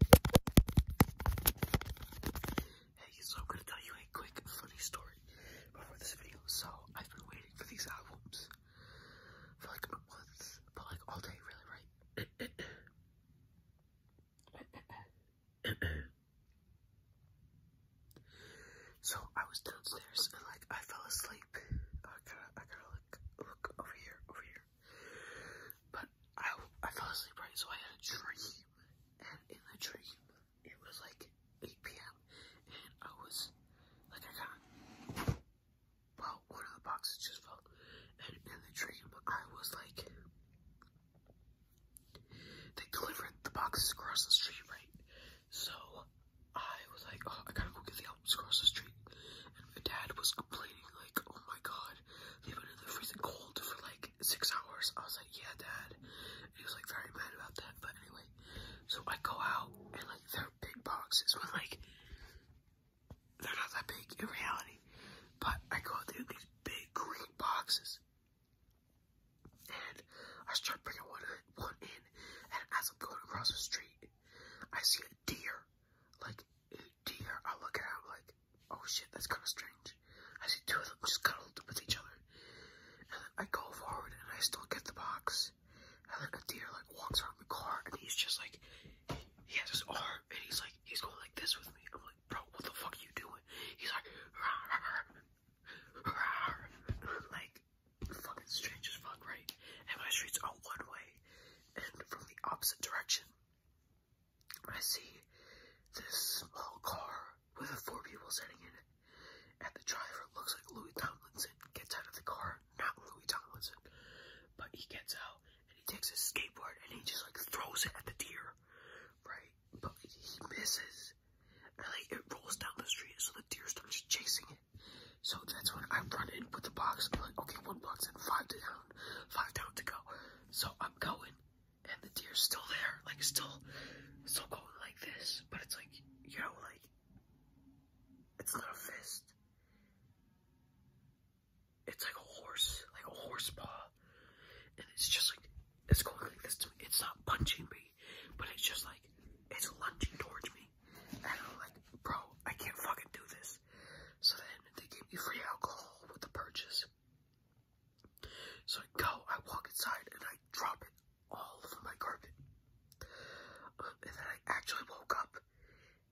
Hey, so I'm gonna tell you a quick funny story before this video. So I've been waiting for these albums for like a but like all day, really, right? so I was downstairs and like I fell asleep. I gotta, I gotta like look over here, over here. But I, I fell asleep right, so I had a dream, and in the dream, it was like 8 p.m., and I was, like, I got, well, one of the boxes just fell, and in the dream, I was like, they delivered the boxes across the street, right, so I was like, oh, I gotta go get the albums across the street, and my dad was complaining, like, oh my god, god, they've been in the freezing cold for like six hours. I was like, yeah, dad. And he was like very mad about that. But anyway, so I go out and like they're big boxes, but like they're not that big in reality. But I go out there these big green boxes. And I start bringing one in, one in, and as I'm going across the street, I see a deer, like deer, I look at it, I'm like, oh shit, that's kind of strange. As the two of them just cuddled with each other. And then I go forward and I still get the box. And then a deer like walks around the car and he's just like, he has his arm and he's like, he's going like this with me. I'm like, bro, what the fuck are you doing? He's like, rawr, rawr, rawr. like, fucking strange as fuck, right? And my street's all one way and from the opposite direction. I see this small car with four people sitting in it. And the driver looks like Louis Tomlinson. Gets out of the car, not Louis Tomlinson, but he gets out and he takes his skateboard and he just like throws it at the deer, right? But he misses, and like it rolls down the street, so the deer starts chasing it. So that's when I run in with the box. I'm like, okay, one box and five to down down, five down to go. So I'm going, and the deer's still there, like still, still going like this. But it's like, you know, like it's not a fist. It's like a horse, like a horse paw, and it's just like it's going like this to me. It's not punching me, but it's just like it's lunging towards me. And I'm like, bro, I can't fucking do this. So then they gave me free alcohol with the purchase. So I go, I walk inside, and I drop it all over my carpet. Uh, and then I actually woke up,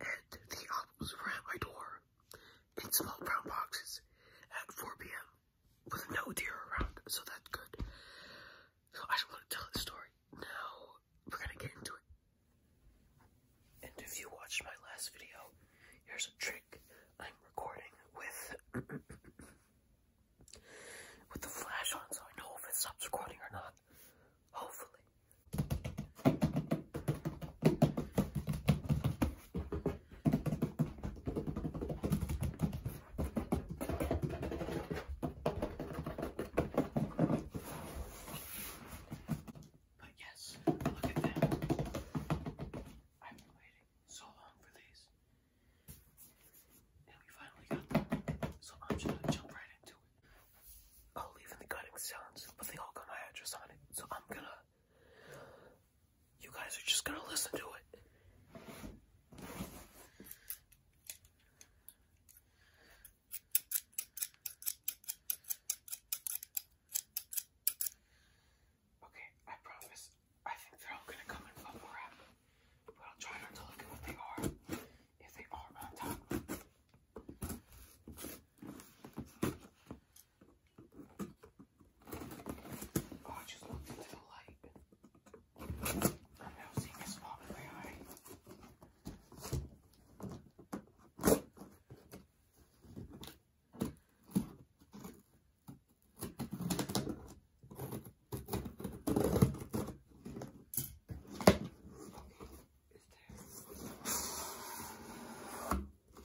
and the albums were at my door in small brown boxes at 4 p.m. with no deer around, so that's good. So I just want to tell the story. Now we're gonna get into it. And if you watched my last video, here's a trick I'm recording with with the flash on so I know if it stops recording or not. Hopefully. But yes, look at them. I've been waiting so long for these. And we finally got them. So I'm just gonna jump right into it. I'll oh, leave in the cutting sounds, but they all got my address on it. So I'm gonna you guys are just gonna listen to it. Okay, I promise. I think they're all gonna come in bubble wrap, but I'll try not to look at what they are if they are on top. Oh, I just looked into the light. I'm now seeing a spot in my eye.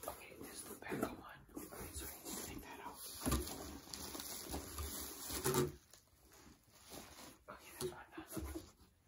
Okay, this is the back of one. Okay, so I need to take that out. Okay, that's what I'm done.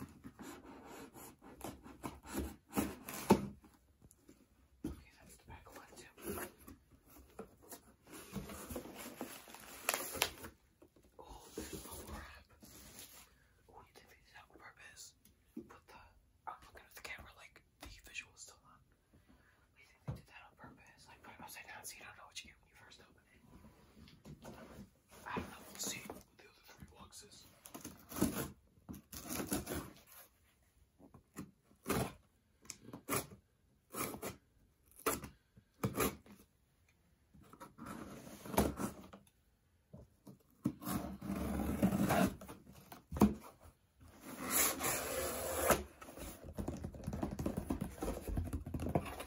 Okay, that's the back one too. Oh, crap. Oh, you did these on purpose. I'm looking at the camera like the visual is still on. I think they did that on purpose. Like put it upside down so you don't know what you get when you first open it. I have not full seen what the other three boxes.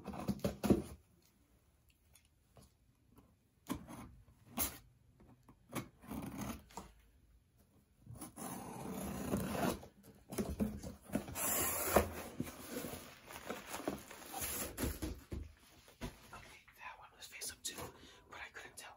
Okay, that one was face up too, but I couldn't tell.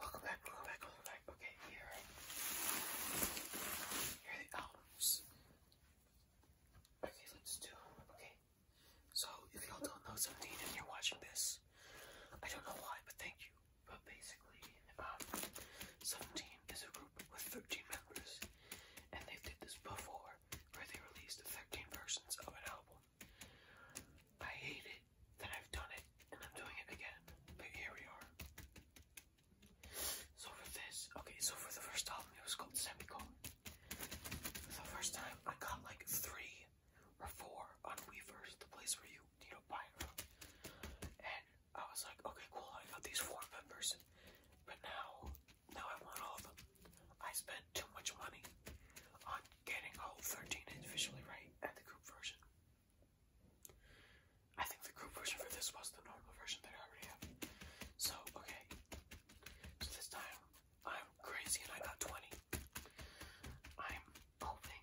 Welcome back, welcome back, welcome back. Okay, here, here are the albums. Okay, let's do, okay. So, if y'all don't know something you're watching this, I don't know why, but thank you. But basically, um, 17 is a group with 13 members, and they've did this before where they released 13 versions of an album. I hate it that I've done it and I'm doing it again, but here we are. So for this, okay, so for the first album, it was called Semicolon. The first time, I got like three or four on Weavers, the place where you, you know, buy them. And I was like, okay, cool, I got these four members, but now, now I want all of them. I spent too much money on getting Hole 13 visually right at the group version. I think the group version for this was the normal version that I already have. So, okay. So this time, I'm crazy and I got 20. I'm hoping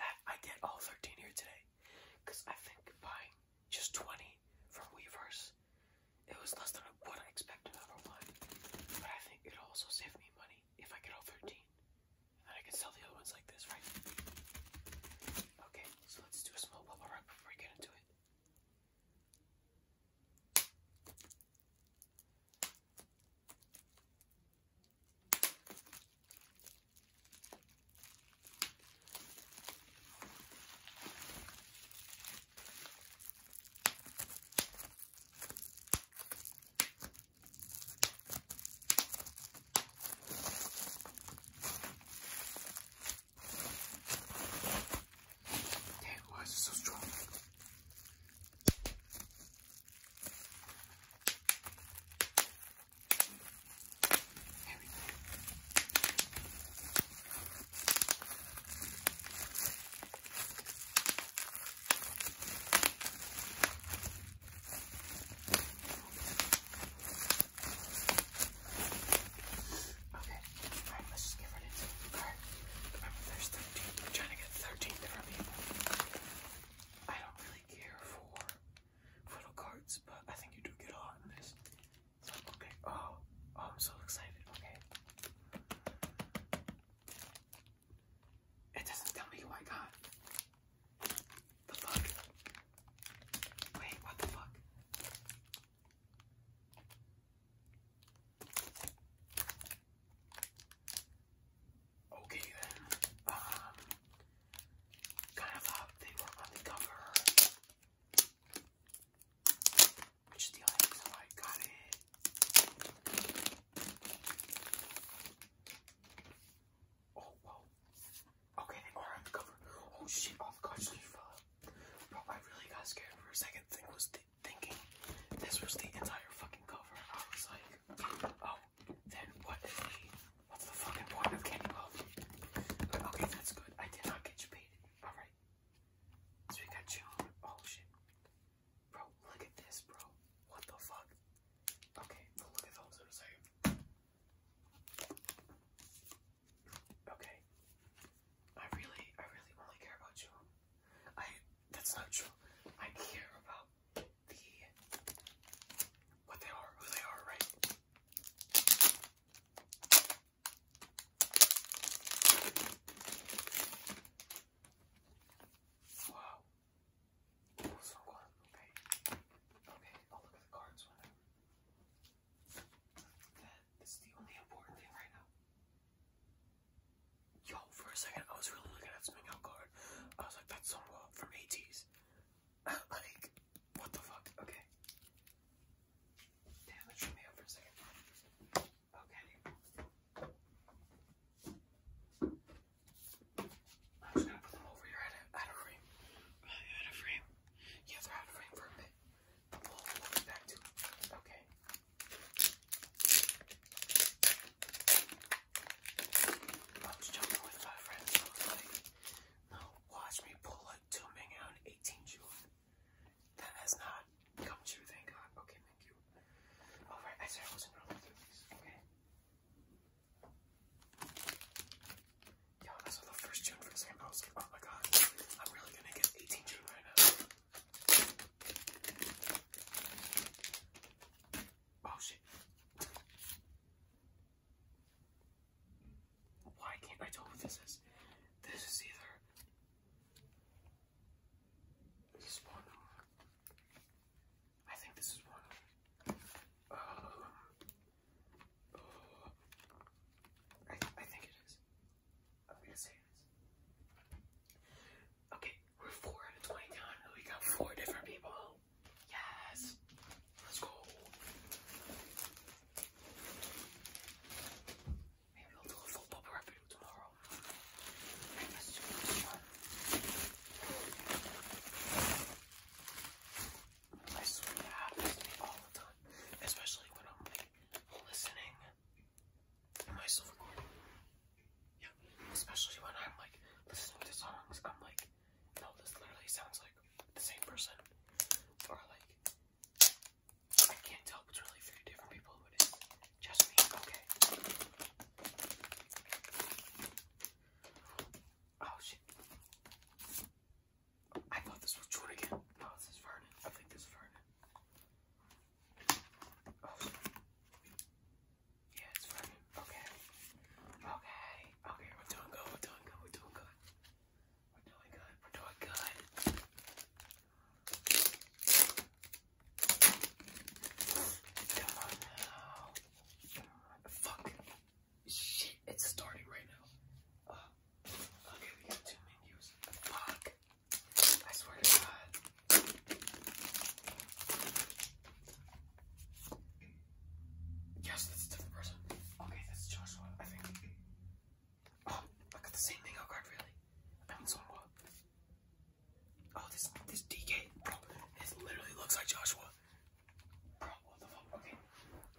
that I get all 13 here today. Because I think buying just 20 from Weavers. It was less than what I expected out of one, but I think it'll also save me money if I get all 13. And then I can sell the other ones like this, right? Okay, so let's do a small bubble wrap before we get into it. Damn, why is it so strong? There Okay, let's just get rid Remember, there's 13. I'm trying to get 13 different people. I don't really care for photo cards, but I think you do get a lot in this. Okay. Oh, oh I'm so excited. Okay. It doesn't tell me who I got. The fuck? Wait, what the fuck? Okay then. Um kind of thought they were on the cover which is the only reason why I got it. Oh, whoa. Okay, they are on the cover. Oh shit, oh the cards just fell out. Bro, I really got scared for a second. Thing was th thinking this was the entire fucking cover. I was like, oh, then what is the, what's the fucking point of Candy Love? But okay, that's good. I did not get you paid. Alright. So we got you Oh shit. Bro, look at this, bro. What the fuck? Okay, look at those in a second. Okay. I really, I really only care about you. I that's not true. I care about the what they are, who they are, right? Wow. Okay. Okay, I'll oh, look at the cards whenever. That is the only important thing right now. Yo, for a second, I was really looking at something out card. I was like, that's someone from 80s. like, what the fuck? Okay. Damn, that threw me up for a second. Okay. I'm just gonna put them over here out of frame. Out of frame. Yeah, out of frame for a bit. But we back to Okay. I was jumping with my friends. I was like, no, watch me pull a until maybe 18 June. That has not come true, thank God. Okay, thank you. Alright, I said I wasn't wrong with you, okay? Yo, I the first June for the same. I was like, oh my god, I'm really gonna get 18 June right now. Oh shit. Why can't I tell what this is? This is either this one. I think this is one. Um, oh. oh. I, think it is. I'm gonna say this. Okay, we're four out of 20 and we got four different people. Yes! Let's go. Maybe I'll do a full bubble review tomorrow. Let's I swear that all the time, especially when I'm like listening. Am recording? Yeah, especially when I'm like listening to songs, I'm like no, this literally sounds like the same person. Or like I can't tell if it's really three different people Just me. Okay. Oh shit. I thought this was Jordan No, this is Vernon. I think this is Vernon. Oh. Yeah, it's Vernon. Okay. Okay. Okay, we're doing good. We're doing good. We're doing good. We're doing good. We're doing good. Come on now. Fuck. Shit, it's starting right now. okay, we got two menus. Fuck. I swear to God. Yes, that's a different person. Okay, that's Joshua, I think. Oh, I got the same thing. Oh really? I'm in Sonwa. Oh, this this DK, bro, this literally looks like Joshua. Bro, what the fuck? Okay,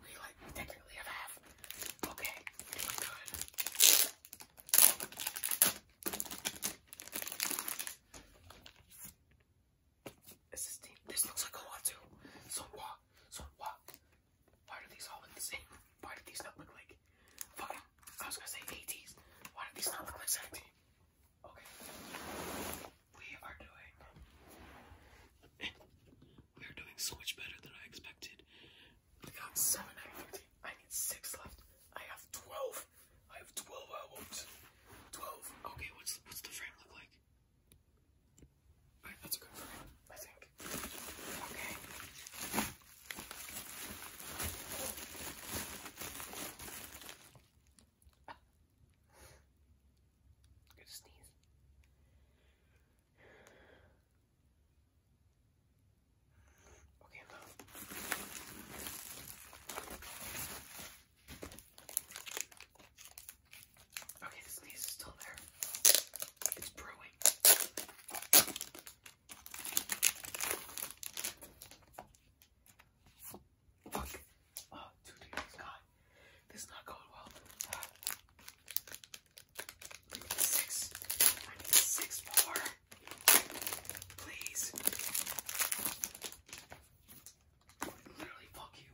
we like we have Okay, we're good. This is team. This looks like a lot too. So what? So what? Why do these all look the same? Why do these not look like fucking? I was gonna say 80s. Why do these not look like 17? Okay. We are doing. we are doing so much better than I expected. We got seven out of 15. I need six left. I have 12. I have 12 albums. 12. Okay, what's what's the frame look like? Alright, that's good I think. Okay. Good sneeze. Okay, i Okay, the sneeze is still there. It's brewing. Fuck. Oh, two tears. God. This is not going well. six. I need six more. Please. Literally, fuck you.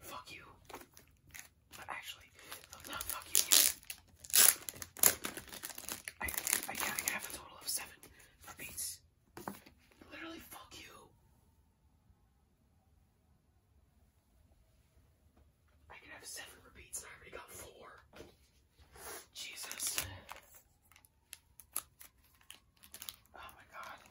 Fuck you. actually, not fuck you. I, I, I have a total of seven for Literally, fuck you. I can have seven repeats and I already got four. Jesus. Oh my god.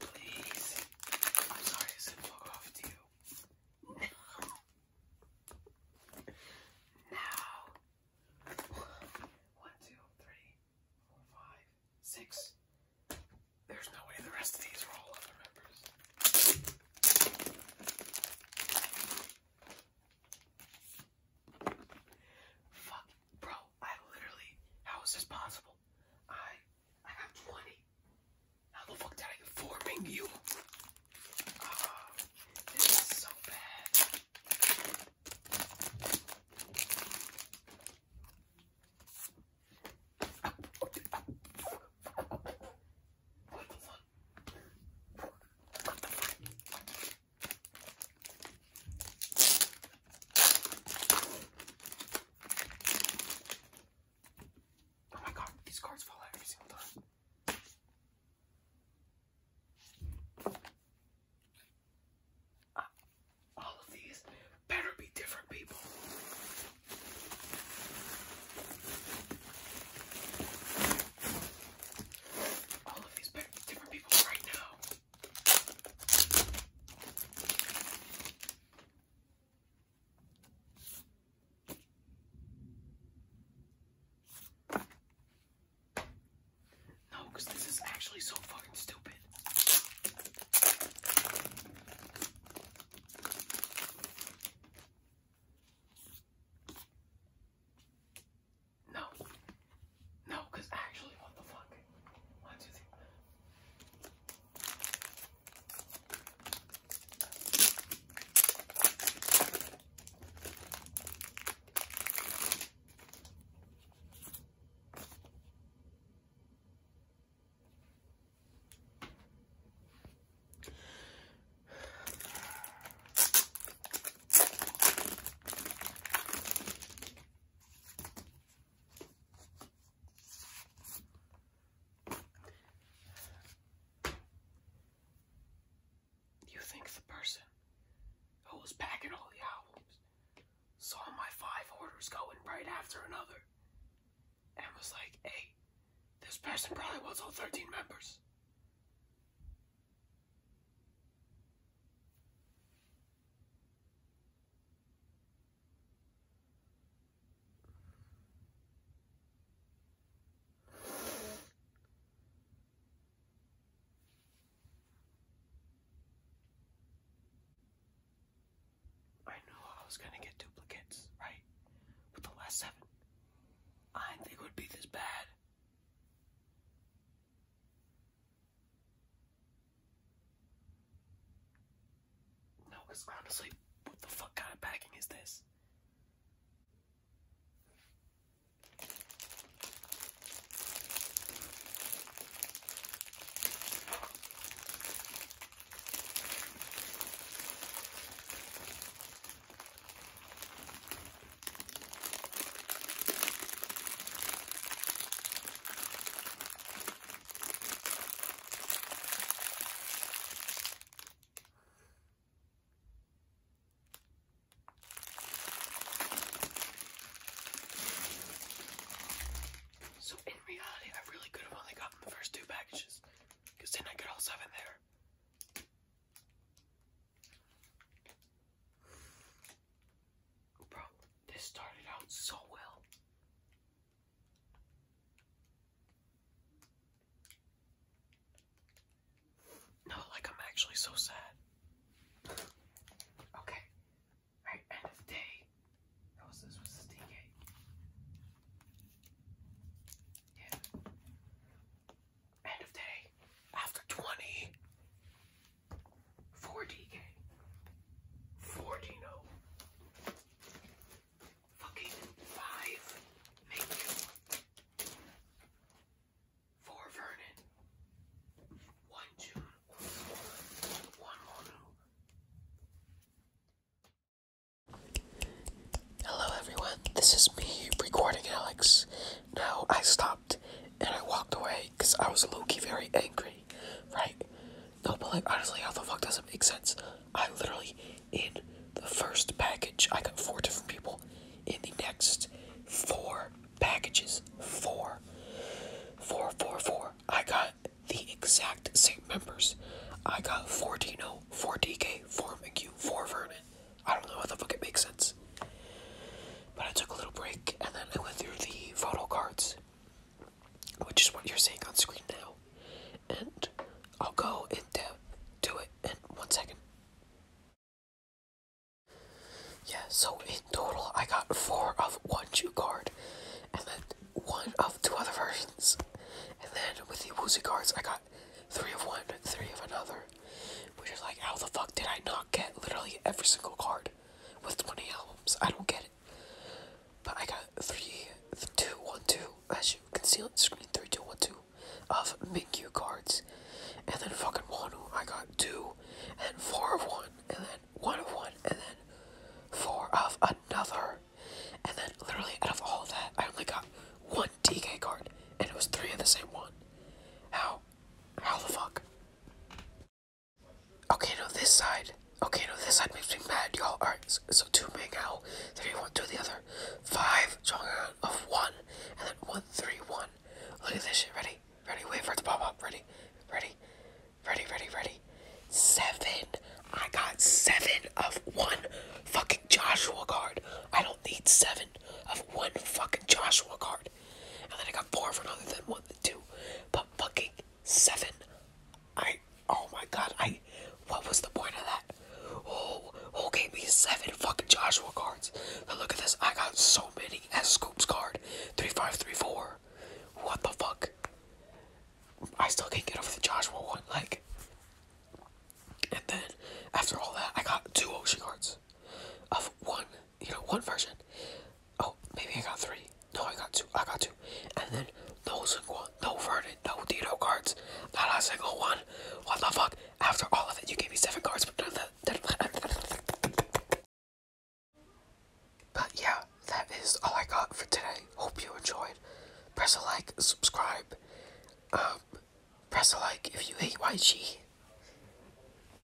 Please. I'm sorry I said fuck off now. One, two, three, four, five, six. There's no way the rest of these are all other members. Fuck, bro, I literally, how is this possible? I I have 20. How the fuck did I get you? Uh, this is so bad. What the fuck? What the fuck? Oh my god, these cards fall out every single time. Ah, all of these better be different people. All of these better be different people right now. No, this is actually so fucking stupid. No. No, because actually, what the fuck? One, two, three. You think the person who was packing all the albums saw my five orders going right after another and was like, hey, this person probably wants all 13 members. I knew I was gonna get duplicates, right? With the last seven. I didn't think it would be this bad. No, because honestly, what the fuck kind of packing is this? So in reality, I really could have only gotten the first two packages, because then I got all seven there. Bro, this started out so well. No, like I'm actually so sad. Okay. Alright, end of day. How was this? Was this DK? Yeah. End of day. After 20. Four D 40 no. Fucking 5. Make you. 4 Vernon. 1 June. 1 Monu. Hello everyone, this is me recording Alex. Now I stop stopped and I walked away because I was low key very angry, right? No, but like honestly, how the fuck does it make sense? I literally, in the first package, I got four different people. In the next four packages, four, four, four, four, I got the exact same members. I got 4 Dino, 4 DK, 4 McHugh, 4 Vernon. I don't know how the fuck it makes sense. But I took a little break and then I went through the photo cards, which is what you're seeing on screen now. And I'll go in depth to it in one second. Yeah, so in total, I got four of one Jew card, and then one of two other versions. And then with the Woozy cards, I got three of one, three of another. Which is like, how the fuck did I not get literally every single card? with 20 albums. I don't get it. But I got three, two, one, two, as you can see on the screen, three, two, one, two, of Minkyu cards. And then fucking Wanu, I got two, and four of one, and then one of one, and then four of another. And then literally out of all that, I only got one DK card, and it was three of the same one. How? How the fuck? Okay, no, this side. Okay, no, this side makes me mad, y'all. Alright, so, so two make out, three, one, two, the other. Five, strong of one, and then one, three, one. Look at this shit. Ready? Ready? Wait for it to pop up. Ready? Ready? Ready? Ready? Ready? Seven. I got seven of one fucking Joshua card. I don't need seven of one fucking Joshua card. And then I got four for another, then one, then two. But fucking seven. I, oh my god, I, what was the point of that? Oh, who gave me seven fucking Joshua cards? Now look at this, I got so many as Scoops card. 3534. What the fuck? I still can't get over the Joshua one, like. And then, after all that, I got two Ocean cards. Of one you know, one version. Oh, maybe I got three. No, I got two. I got two. And then no single, no Vernon, no Dino cards. Not a single one. What the fuck? After all of it, you gave me seven cards, but none But yeah, that is all I got for today. Hope you enjoyed. Press a like, subscribe. Um, press a like if you hate YG.